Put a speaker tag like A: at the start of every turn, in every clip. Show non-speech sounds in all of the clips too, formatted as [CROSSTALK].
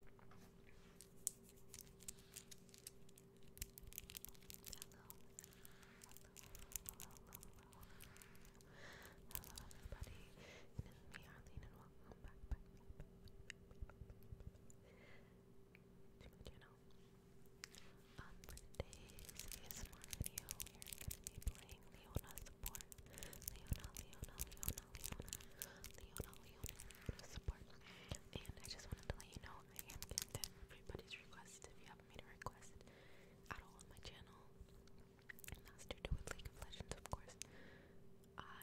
A: hello, everybody. It is me, Arlene, and welcome back, to my channel. today's ASMR we are going to be playing Leona's support. Leona, Leona, Leona, Leona, Leona, Leona video support. And I just wanted to let you know I am getting everybody's requests if you have made a request at all on my channel. And that's to do with League of Legends, of course. I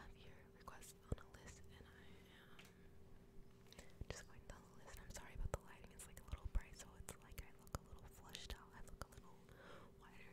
A: have your requests on a list, and I am just going down the list. I'm sorry about the lighting; it's like a little bright, so it's like I look a little flushed out. I look a little wider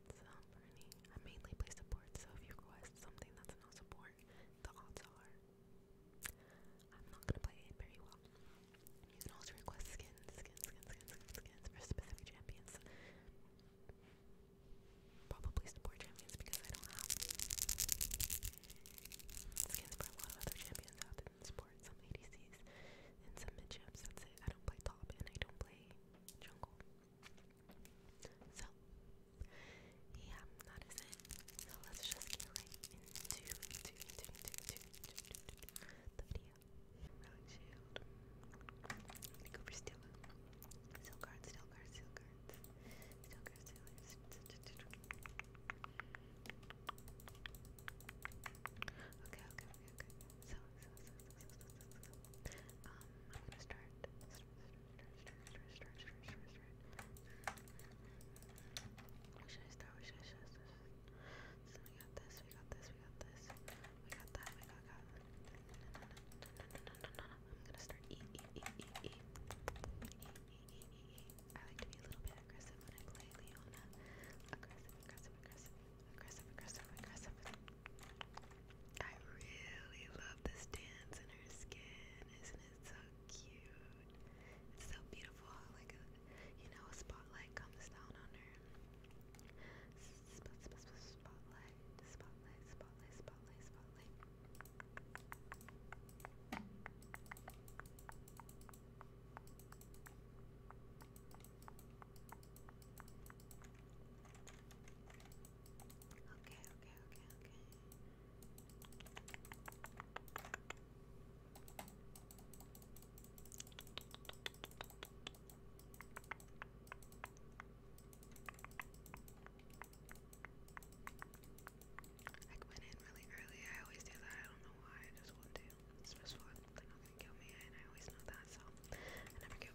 A: some Bernie. I mainly play support, so if you request something that's not support, the odds are I'm not gonna play it very well. You can also request skins, skins, skins, skins, skins for specific champions. Probably support champions because I don't have skins for a lot of other champions other than support, some ADCs and some mid champs, that's it. I don't play top and I don't play jungle. So, yeah, that is it. So let's just get right into, into, into, into, into, the video. shield. go for Steel. Steel cards, Steel cards, Steel cards. Steel cards, Steel cards. Okay, okay, okay, um, I'm gonna start. Start, start, start, start, start, start, start. What should I start? should I start? we got this. We got this. We got this. We got that. We got that. no, no, no, no, no, no, no. I'm gonna start. E, e, e, e, e. E, e, e, e, e. I like to be a little bit aggressive when I play Leona. Aggressive, aggressive, aggressive, aggressive, aggressive, aggressive. I really love the stands in her skin. Isn't it so cute? It's so beautiful. Like a, you know, a spotlight comes down on her. Spot, spot, spot, spotlight, spotlight, spotlight, spotlight, spotlight. Okay, okay, I went in really early. I always do that. I don't know why. I just want to. It's just fun. They're kill me, and I always know that, so I never get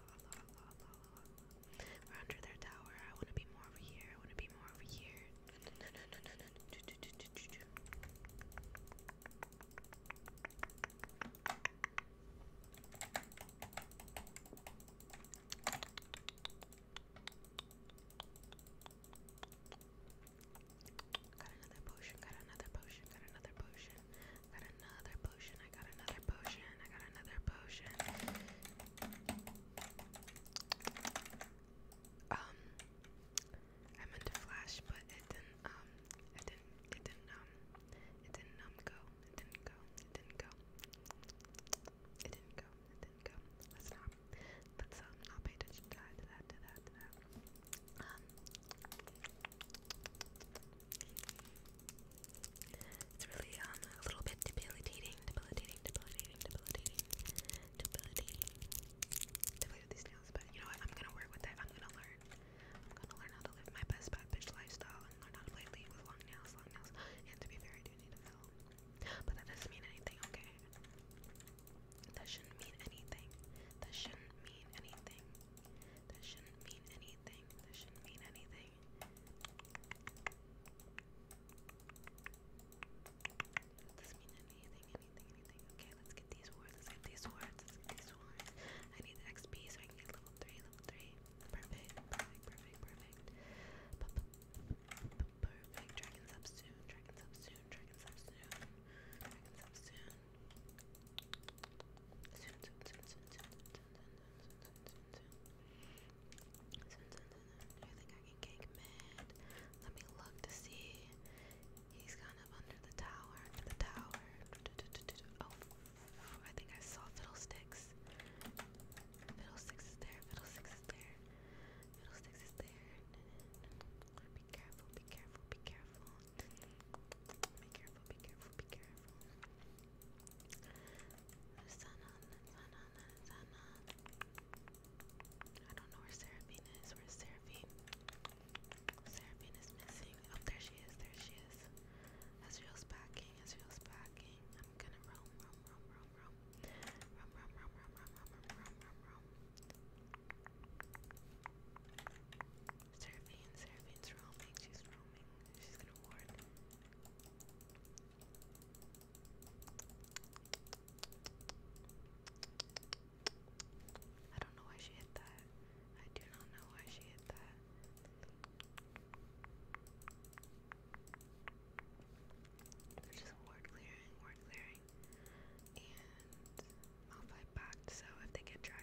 A: Allah, Allah, We're under their tower. I want to be more over here. I want to be more over here. Got another potion, got another potion, got another potion. I Got another potion. I got another potion. I got another potion. Um, I meant to flash, but it didn't. Um, it didn't. It didn't. Um, it didn't. Um, go. It didn't go. It didn't go. It didn't go. It didn't go. Let's not. go let not let us um, not pay attention to that. To that. To that. To that. Um. It's really um a little bit debilitating, debilitating, debilitating, debilitating, debilitating. Debilitating these nails, but you know what? I'm gonna work with it. I'm gonna learn. I'm gonna learn how to live my best bad bitch lifestyle and learn how to play with long nails, long nails. And to be fair, I need a fill, but that doesn't mean anything, okay? That shouldn't mean anything. That shouldn't mean anything. That shouldn't mean anything nothing. This mean anything. This mean anything, anything, anything. Okay, let's get these swords. Let's get these swords. Let's get these swords. I need the XP so I can get level three. Level three. Perfect. Perfect. Perfect. Perfect. Perfect. Dragons up soon. Dragons up soon. Dragons up soon. Dragons up soon. I think I can cake mid. Let me look to see. He's kind of under the tower. Under the tower. Oh, I think I saw Fiddlesticks. Fiddlesticks is there. Fiddlesticks is there. Fiddlesticks is there. Be careful, be careful, be careful. Be careful, be careful, be careful. Sun on, sun on, sun on. I don't know where Seraphine is. Where's Seraphine? Seraphine is missing. Oh, there she is, there she is. Ezreal's backing, Ezreal's backing. I'm gonna roam, roam, roam, roam, roam. Roam, roam, roam, roam, roam, roam, roam, roam, roam, roam. Seraphine, Seraphine's roaming, she's roaming, she's gonna ward. I don't know why she hit that. I do not know why she hit that. just ward clearing, ward clearing. And Malphite backed, so if they get dragon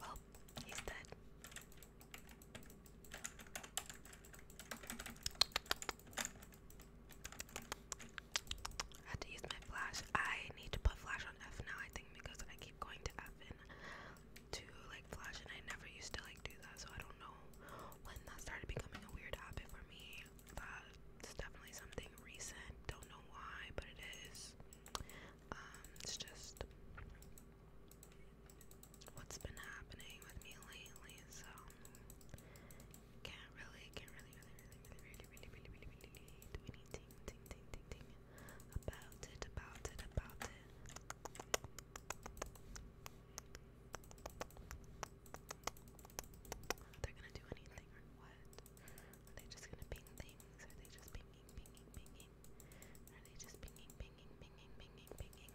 A: Well, he's dead. I had to use my flash. I need to put flash on F now, I think, because I keep going to FN to like flash, and I never used to like do that, so I don't know when that started becoming a weird habit for me. That's definitely something recent, don't know why, but it is. it's just what's been happening with me lately, so can't really, can't really, really, really, really, really, really, really, really, really do anything, ting, ting, ting, ting about it, about it, about it. Are they gonna do anything or what? Are they just gonna ping things? Are they just pinging, pinging, pinging? Are they just pinging, pinging, pinging, pinging, pinging?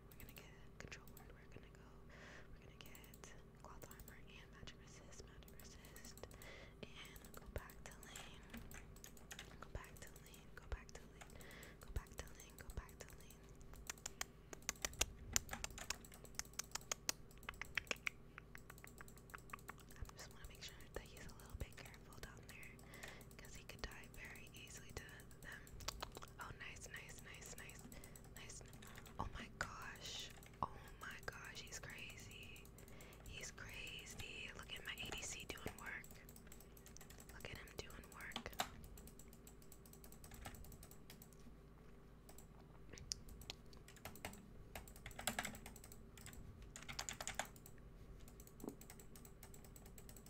A: We're gonna get control word. We're gonna go. We're gonna get cloth armor and magic resist, magic resist, and go back to lane. Go back to lane. Go back to lane. Go back to lane. Go back to lane. I just want to make sure that he's a little bit careful down there because he could die very easily to Oh, nice, nice, nice, nice, nice. Oh my gosh. Oh my gosh, he's crazy. He's crazy. Look at my ADC doing work. Look at him doing work.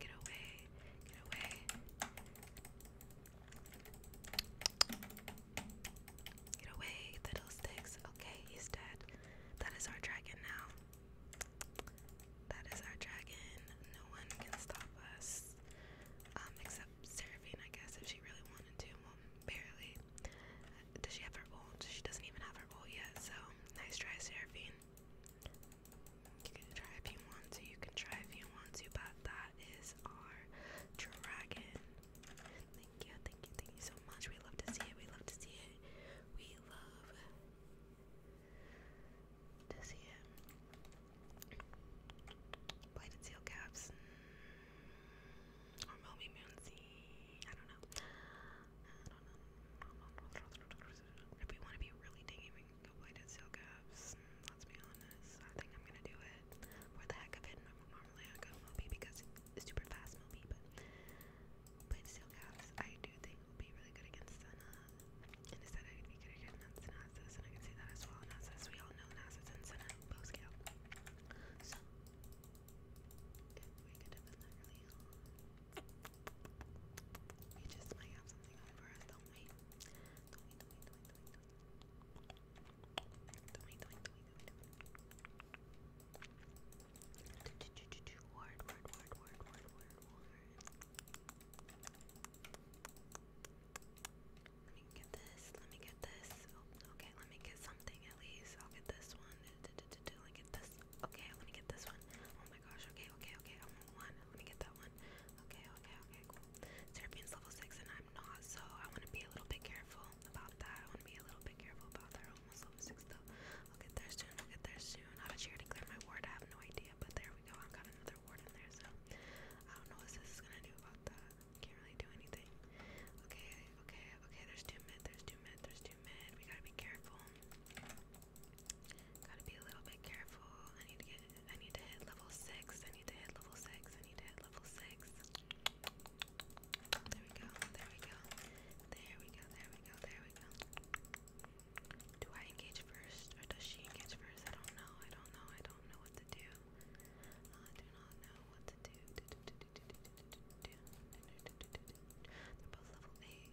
A: Get away. Get away. Get away, fiddlesticks. Okay, he's dead. That is our dragon now. That is our dragon. No one can stop us. Um, except Seraphine, I guess, if she really wanted to. barely. Does she have her ult? She doesn't even have her ult yet, so nice try, Seraphine. You can try if you want to, you can try if you want to, but that is our dragon. Thank you, thank you, thank you so much. We love to see it, we love to see it. We love to see it. Blighted seal caps. Or mm, Moby Moonsea. I don't know. I don't know. If we want to be really dingy, we avoided seal caps. Let's be honest. I think I'm gonna do it for the heck of it. Normally I go Moby because it's super fast Moby, but with caps I do think will be really good against Senna. instead I could be good against Nasus, and I can see that as well. Nasus, we all know Nasus and Senna both scale. So we just might have something over us, don't we? Don't we, don't we, don't we, don't we, don't we, don't we, don't we, don't we, don't we, word, word, word, word, word, word, word. Let me get this, let me get this. Oh, okay, let me get something at least. I'll get this one. Let me get this Okay, I want to get this one. Oh my gosh. Okay, okay, okay. I want one. I want to get that one. Okay, okay, okay. Cool. Serapion's level six, and I'm not, so I want to be a little bit careful about that. I want to be a little bit careful about that. Almost level six though. I'll get there soon. I'll get there soon. How did she already clear my ward? I have no idea. But there we go. I've got another ward in there, so I don't know what this is gonna do about that. Can't really do anything. Okay, okay, okay. There's two mid. There's two mid. There's two mid. We gotta be careful. Gotta be a little bit careful. I need to get I need to hit level six. I need to hit level six. I need to hit level six. There we go. There we go. There we go. There we go. There we go. Do I engage first or does she engage first? I don't know. I don't know. I don't know what to do. I do not know what to do. They're both level eight.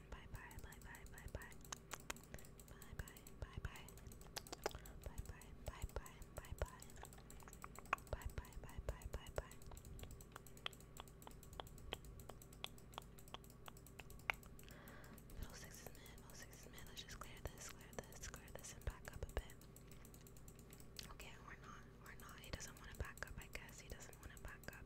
A: mean. Bye bye, bye bye, bye bye. Bye bye, bye bye. Bye bye, bye bye, bye bye. Bye bye, bye bye, bye bye. Middle six is mid, middle six Let's just clear this, clear this, clear this, and back up a bit. Okay, we're not, we're not. He doesn't want to back up, I guess. He doesn't want to back up.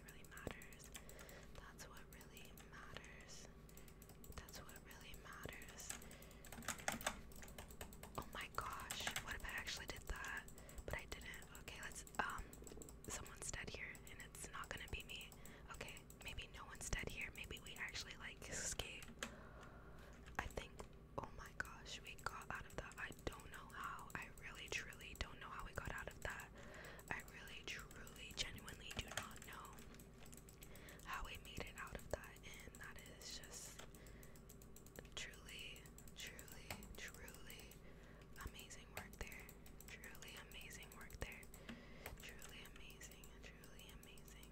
A: really, really matters. That's what really matters. That's what really matters. Oh my gosh, what if I actually did that? But I didn't. Okay, let's um someone's dead here and it's not gonna be me. Okay, maybe no one's dead here. Maybe we actually like escape. I think oh my gosh, we got out of that. I don't know how. I really truly don't know how we got out of that really, truly, genuinely do not know how we made it out of that, and that is just truly, truly, truly amazing work there. Truly amazing work there. Truly amazing, truly amazing.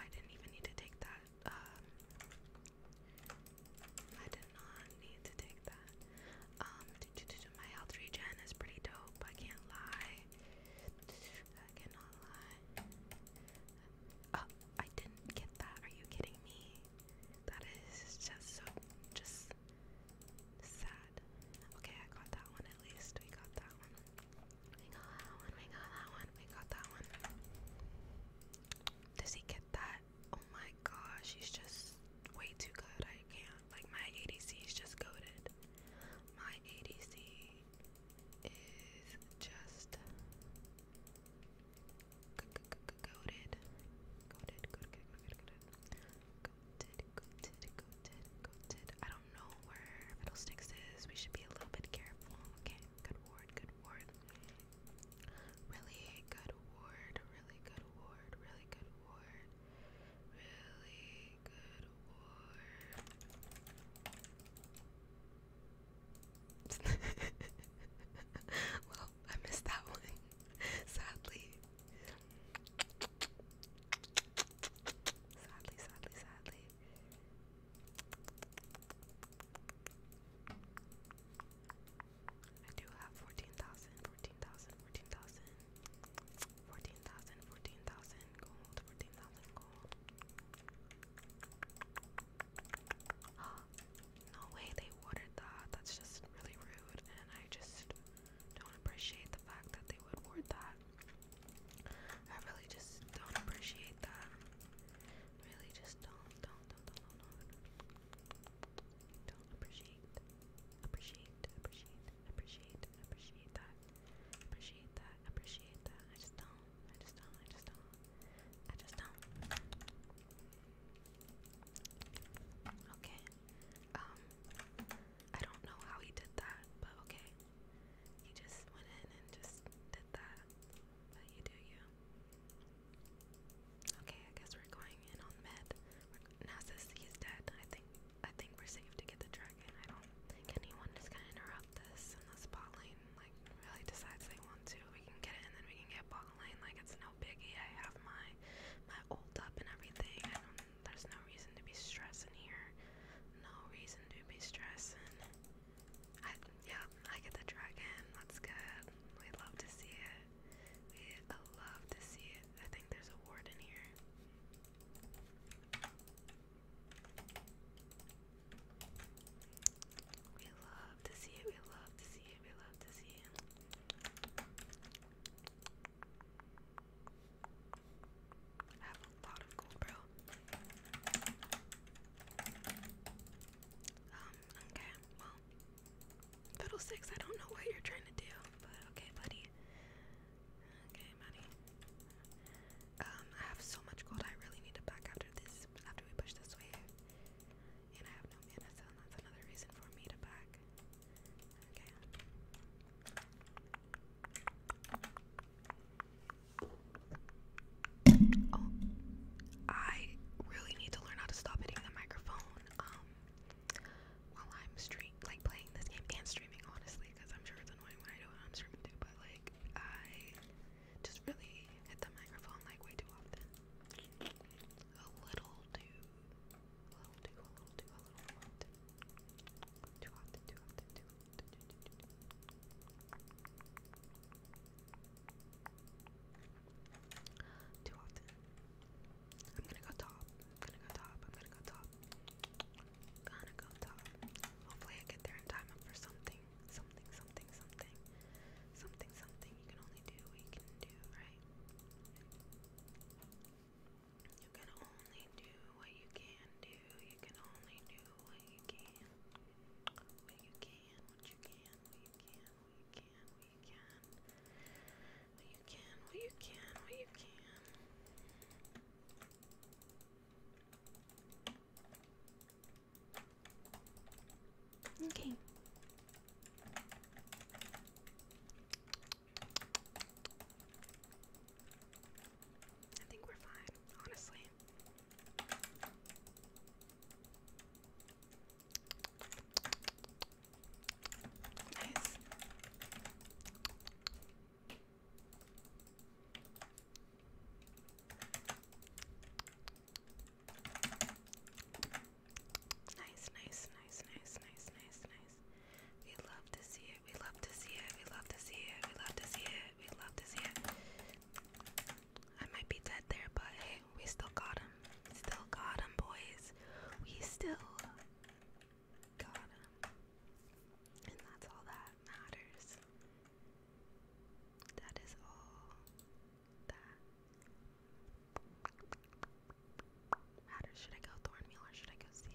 A: I didn't even need to take that. Um, I did not need to take that. Um, my health regen is pretty dope. I can't lie. I cannot lie. Oh, I didn't get that. Are you kidding me? That is just so just sad. Okay, I got that one at least. We got that one. We got that one. We got that one. We got that one. Does he get that? Oh my gosh, he's just way too good. I can't. Like my ADC is just goaded. My ADC is just goaded. Goaded, goaded, goaded, goaded, goaded, goaded, goaded. I don't know where Fiddlesticks is. We should be a little bit careful. Okay, good ward, good ward. Really good ward, really good ward, really good ward. Really good [LAUGHS] war. well, I missed that one, sadly. Sadly, sadly, sadly. I do have 14,000, 14,000, 14,000. 14,000, gold, 14,000 gold. [GASPS] no way they watered that. That's just really rude, and I just don't appreciate the fact that they would ward that. I really just don't appreciate that. Really just don't, don't, don't, don't. Don't appreciate, appreciate, appreciate appreciate, appreciate that, appreciate that, appreciate that. I just don't, I just don't, I just don't, I just don't. Okay, um, I don't know how he did that, but okay, he just went in and just did that. you do you. Okay, I guess we're going in on med. Nasus, he's dead. I think I think we're safe to get the dragon. I don't think anyone is gonna interrupt this unless bot lane like really decides they want to. We can get it and then we can get bot lane. Like it's no biggie. I have my my ult up and everything. I don't, there's no reason to be stressing here. No reason to be stressing. I yeah, I get the dragon. That's good. We love to see it. We love to see it. I think there's a ward in here. We love to see it, we love to see it, we love to see it. I have a lot of gold, bro. Um, okay, well, Fiddlesticks, I don't know what you're trying to do, but okay, buddy. Okay, Maddie. Um, I have so much gold. I really need to back after this, after we push this way, And I have no mana, so that's another reason for me to back. Okay. Oh, I really need to learn how to stop hitting the microphone. Um, while I'm stream like playing this game and streaming honestly because I'm sure it's annoying when I do it I'm streaming too but like I just really hit the microphone like way too often a little too a little too a little too a little too too often too often too often too often I'm gonna go top. I'm gonna go top. I'm gonna go top. Gonna go top. Hopefully I get there in time for something. Something, something, something. Something, something. You can only do what you can do, right? You can only do what you can do. You can only do what you can. What you can, what you can, what you can, what you can, what you can you can, what you can, what you can. Okay. I think we're fine, honestly. Nice. Nice, nice, nice, nice, nice, nice, nice. We love to see it. We love to see it. We love to see it. We love to see it. We love to see it. I might be dead there, but hey, we still got him. Still got him, boys. We still Got him. And that's all that matters. That is all that matters. Should I go Thornmeal or should I go Six?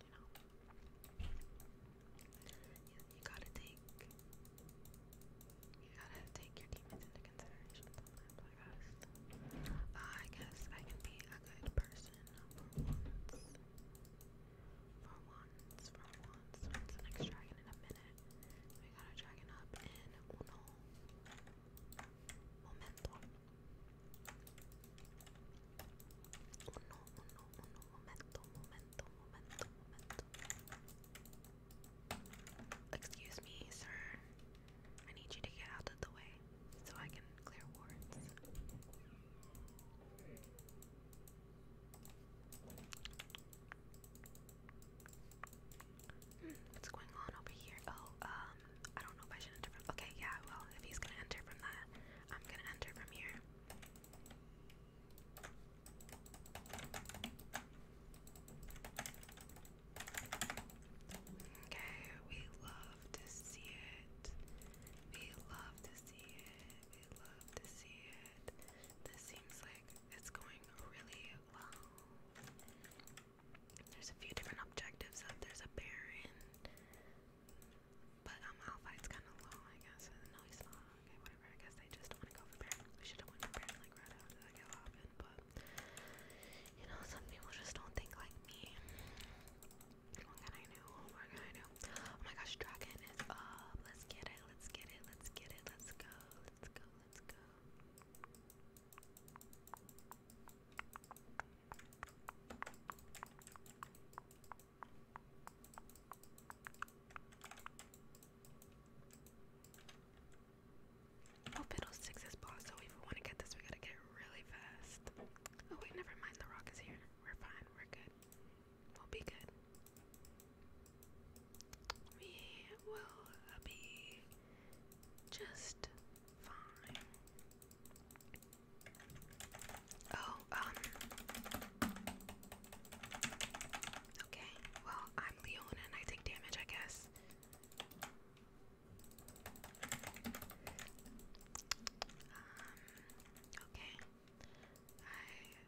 A: because you know you, gotta take you gotta take your demons into consideration I guess. I can be a good person for once. For once, for once. next dragon in a minute? We got a dragon up in uno momento. Excuse me, sir. I need you to get out of the way so I can clear wards. what's going on over here? Oh, um, I don't know if I should enter Okay, yeah, well, if he's gonna enter from that, I'm gonna enter from here. Okay, we love to see it. We love to see it. We love to see it. This seems like it's going really well. There's a few different objectives up. There's a Baron. But um, Alphite's kind of low, I guess. No, he's not. Okay, whatever. I guess they just want to go for Baron. We should have went for Baron like right after that go happened, but you know, some people just don't think like me. What can I do? What can I do? Oh my gosh, Dragon is up. Let's get it. Let's get it. Let's get it. Let's go. Let's go. Let's go. Oh, Fiddle is boss, so if we want to get this, we gotta get really fast. Oh, wait, never mind. The rock is here. We're fine. We're good. We'll be good. We will be just fine. Oh, um. Okay, well, I'm Leona and I take damage, I guess. Um, okay. I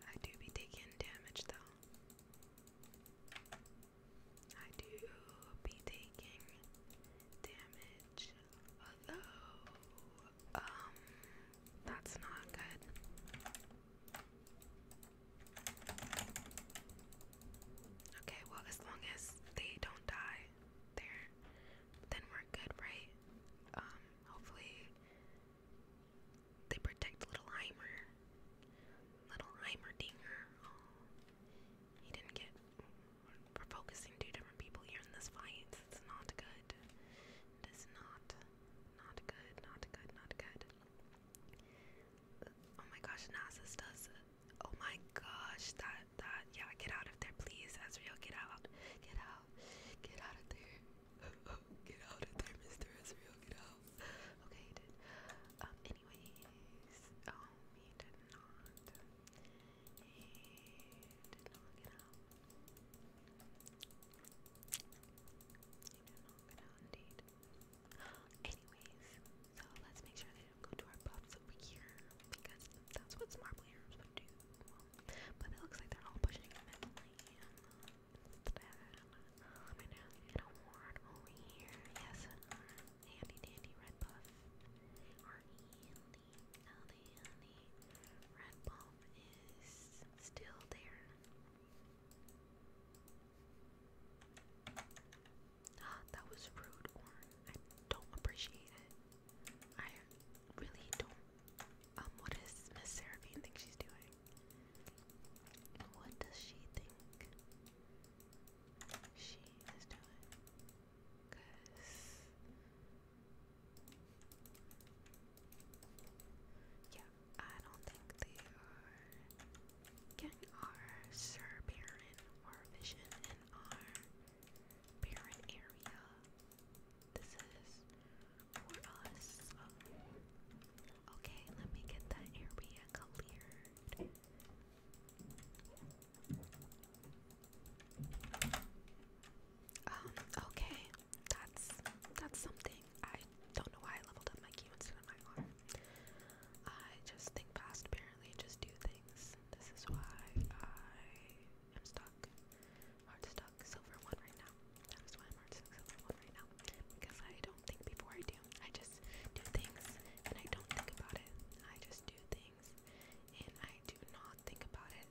A: I do be taking damage though. I do be taking damage though. Um, that's not good. Okay, well, as long as they don't die there, then we're good, right? Um, hopefully they protect little Heimer. Little Heimerdinger. Oh, he didn't get. We're focusing two different people here in this fight. It's not good is not, not good, not good, not good. Oh my gosh, Nasus does. Oh my gosh, that, that, yeah, get out of there, please, Ezreal, get out, get out, get out of there, [LAUGHS] get out of there, Mr. Ezreal, get out. Okay, Um, anyways, oh, he did not. He did not get out. [GASPS] Anyways, so let's make sure they don't go to our buffs over here because that's what smart players would do. but it looks like they're all pushing him in lane instead. I'm gonna get a ward here. Yes, handy dandy red buff honey, honey. Red Bomb is still there. Ah, that was rude, I don't appreciate it. I really don't. Um, what Miss Seraphine think she's doing? What does she think she is doing? Cause yeah, I don't think they are. Can our Sir or Vision in our Baron area? This is for us. Okay, let me get that area cleared. Um, okay. That's that's something. I don't know why I leveled up my Q instead of my R. I just think fast apparently, just do things. This is why I am stuck. Hard stuck silver one right now. That is why I'm stuck silver one right now. Because I don't think before I do. I just do things and I don't think about it. I just do things and I do not think about it.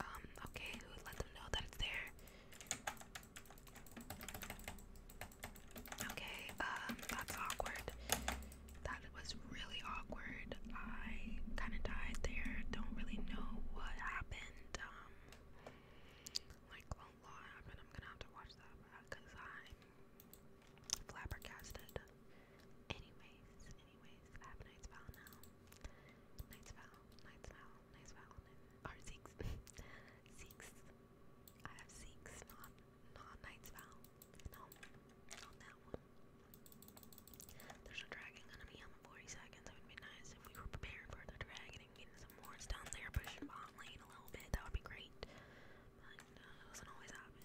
A: Um, okay, let them know that it's there? Okay, um, that's awkward. That was really awkward. I kind of died there. Don't really know what happened. Um, like, a lot I'm gonna have to watch that because uh, I'm flabbergasted. Anyways, anyways, I have Knight's Vow now. Knight's Vow, Knight's Vow, Knight's Vow, [LAUGHS] I have Zeeks, not, not Knight's Vow. No, not that one. There's a dragon gonna be on in 40 seconds. It would be nice if we were preparing for the dragon and getting some more down there, pushing bot lane a little bit. That would be great. But uh, it doesn't always happen.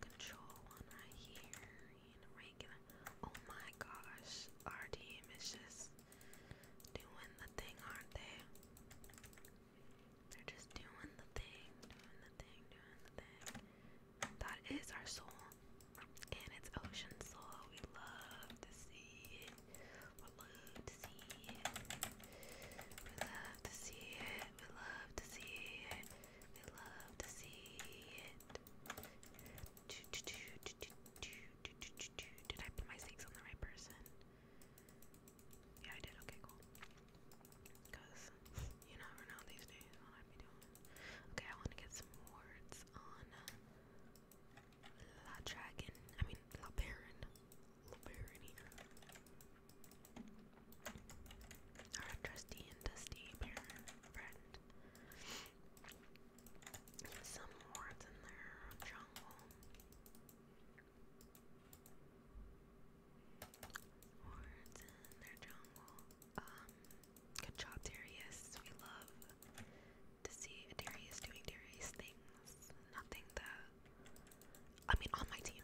A: control one right here. Oh my gosh, our team is just doing the thing, aren't They're just doing the thing, doing the thing, doing the thing. That is our soul, and it's ocean soul. We love to see it. We love to see it. We love to see it. We love to see it. I love to see it. Did I put my stakes on the right person? Yeah, I did. Okay, cool. Because you never know these days Okay, I want to get some words on La Dragon. I mean, La Baron. La Baron our trusty and dusty friend. Some wards in their jungle. Wards in their jungle. Um, good job, Darius. We love to see Darius doing Darius things. Nothing that. I mean, on my team,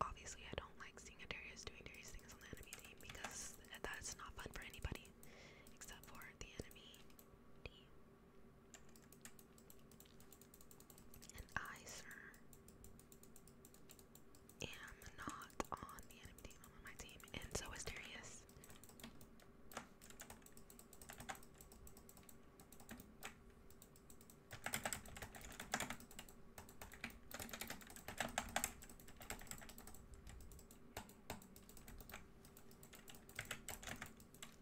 A: obviously I don't like seeing Adarius doing various things on the enemy team because that's not fun for anybody except for the enemy team. And I, sir, am not on the enemy team, I'm on my team, and so is Darius.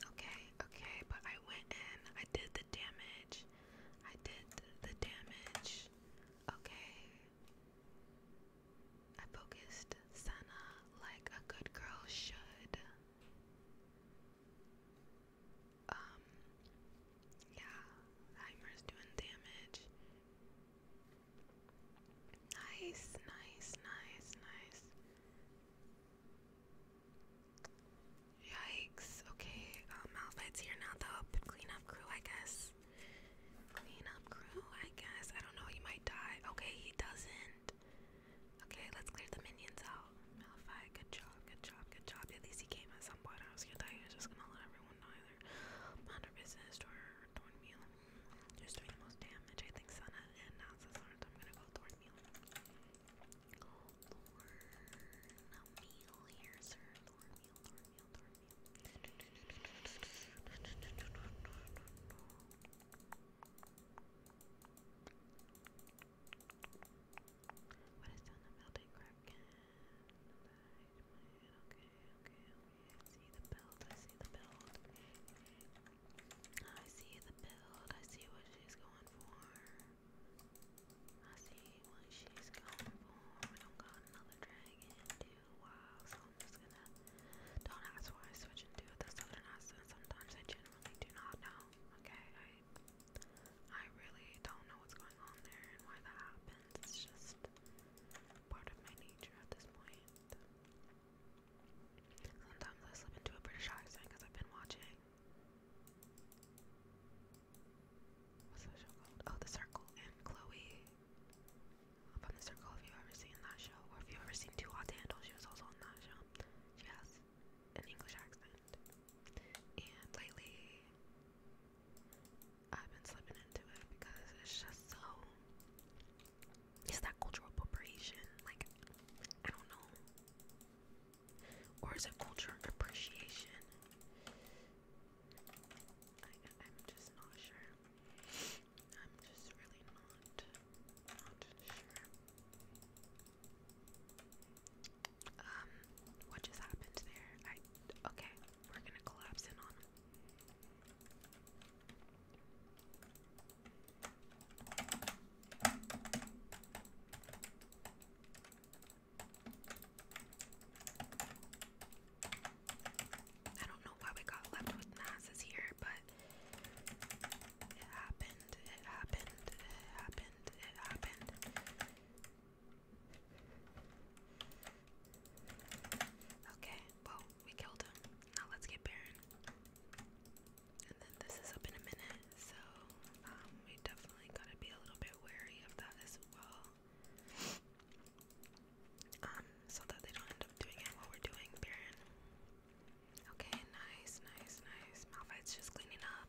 A: Okay, okay, but I went in. I did the damage. I did the damage. Okay. I focused Sana like a good girl should. Um, yeah, Heimer's doing damage. Nice, nice, nice, nice. Yikes. Okay, Malphite's um, here now, though. Cleanup crew, I guess. Cleanup crew, I guess. I don't know, he might die. Okay, he doesn't. Okay, let's clear the minions out. Malphite, good job good job, good job. At least he came at some point. I was gonna He was just gonna let everyone know either. Mind her business or Thornmeal. Who's doing the most damage? I think Senna and now since I'm gonna go Thornmeal. Go oh, Thornmeal here, sir. Thornmeal, Thornmeal, Thornmeal. What is down building, Kraken? okay, okay, okay, I see the build, I see the build. I see the build, I see what she's going for. I see what she's going for. We don't got another dragon too. Wow, so I'm just gonna don't ask why I switch into this other nonsense. Sometimes I generally do not know. Okay, I I really don't know what's going on there and why that happens. It's just part of my nature at this point. Sometimes I slip into a British accent because I've been watching. What's that show called? Oh, The Circle and Chloe. Up The Circle, if you ever seen that show, or if you ever seen Too Hot to she was also on that show. She has an English accent. And lately, I've been slipping into it because it's just so it's that cultural appropriation. Like I don't know. Or is it cultural appreciation? I'm just not sure. I'm just really not not sure. Um, what just happened there? I okay, we're gonna collapse in on him. I don't know why we got left with NASA's here, but it happened, it happened, it happened, it happened. Okay, well, we killed him. Now let's get Baron. And then this is up in a minute, so um, we definitely gotta be a little bit wary of that as well. Um, so that they don't end up doing it we're doing Baron. Okay, nice, nice, nice. Malphite's just cleaning up.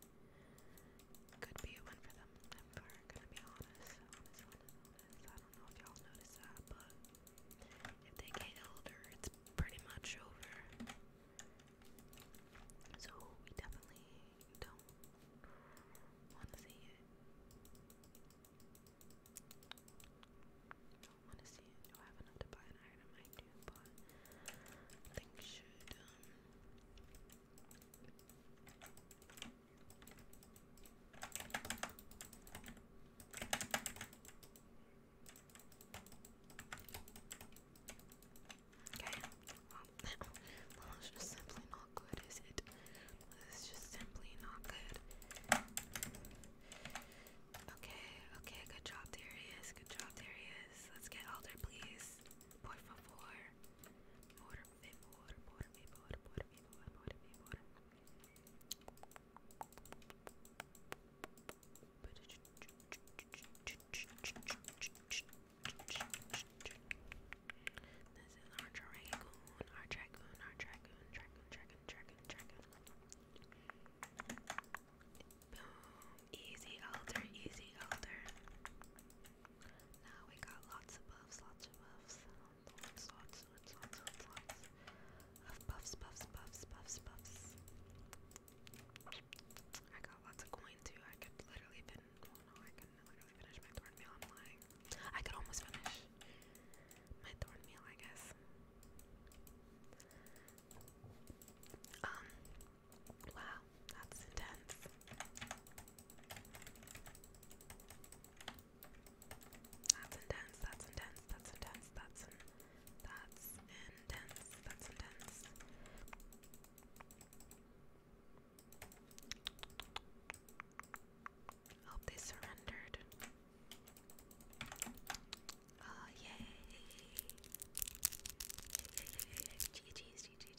A: could be a win for them, if we gonna be honest. I don't know if y'all noticed that, but if they get older, it's pretty much over. So we definitely don't want to see it. Don't want to see it. Do I have enough to buy an item? I do, but I think should um, Okay, well, [LAUGHS] well, just simply not good, is it? It's just simply not good. Okay, okay, good job, Darius. Good job, Darius. Let's get older, please. Por favor. This is our dragoon, our dragoon, our dragoon, dragoon, dragoon, dragoon, dragoon. Boom! Easy elder, easy elder. Now we got lots of buffs, lots of buffs, lots, lots, lots, lots, lots, of buffs, buffs, buffs, buffs, buffs. I got lots of coin too. I could literally fin no, I can literally finish my thorn meal. I'm lying. I could almost finish my thorn meal, I guess. Um, Wow, that's intense. That's intense, that's intense, that's intense, that's in, that's intense, that's intense. Hope they surrendered. Oh, yay! Yay, yay, yay, yay. Jeez, jeez, jeez,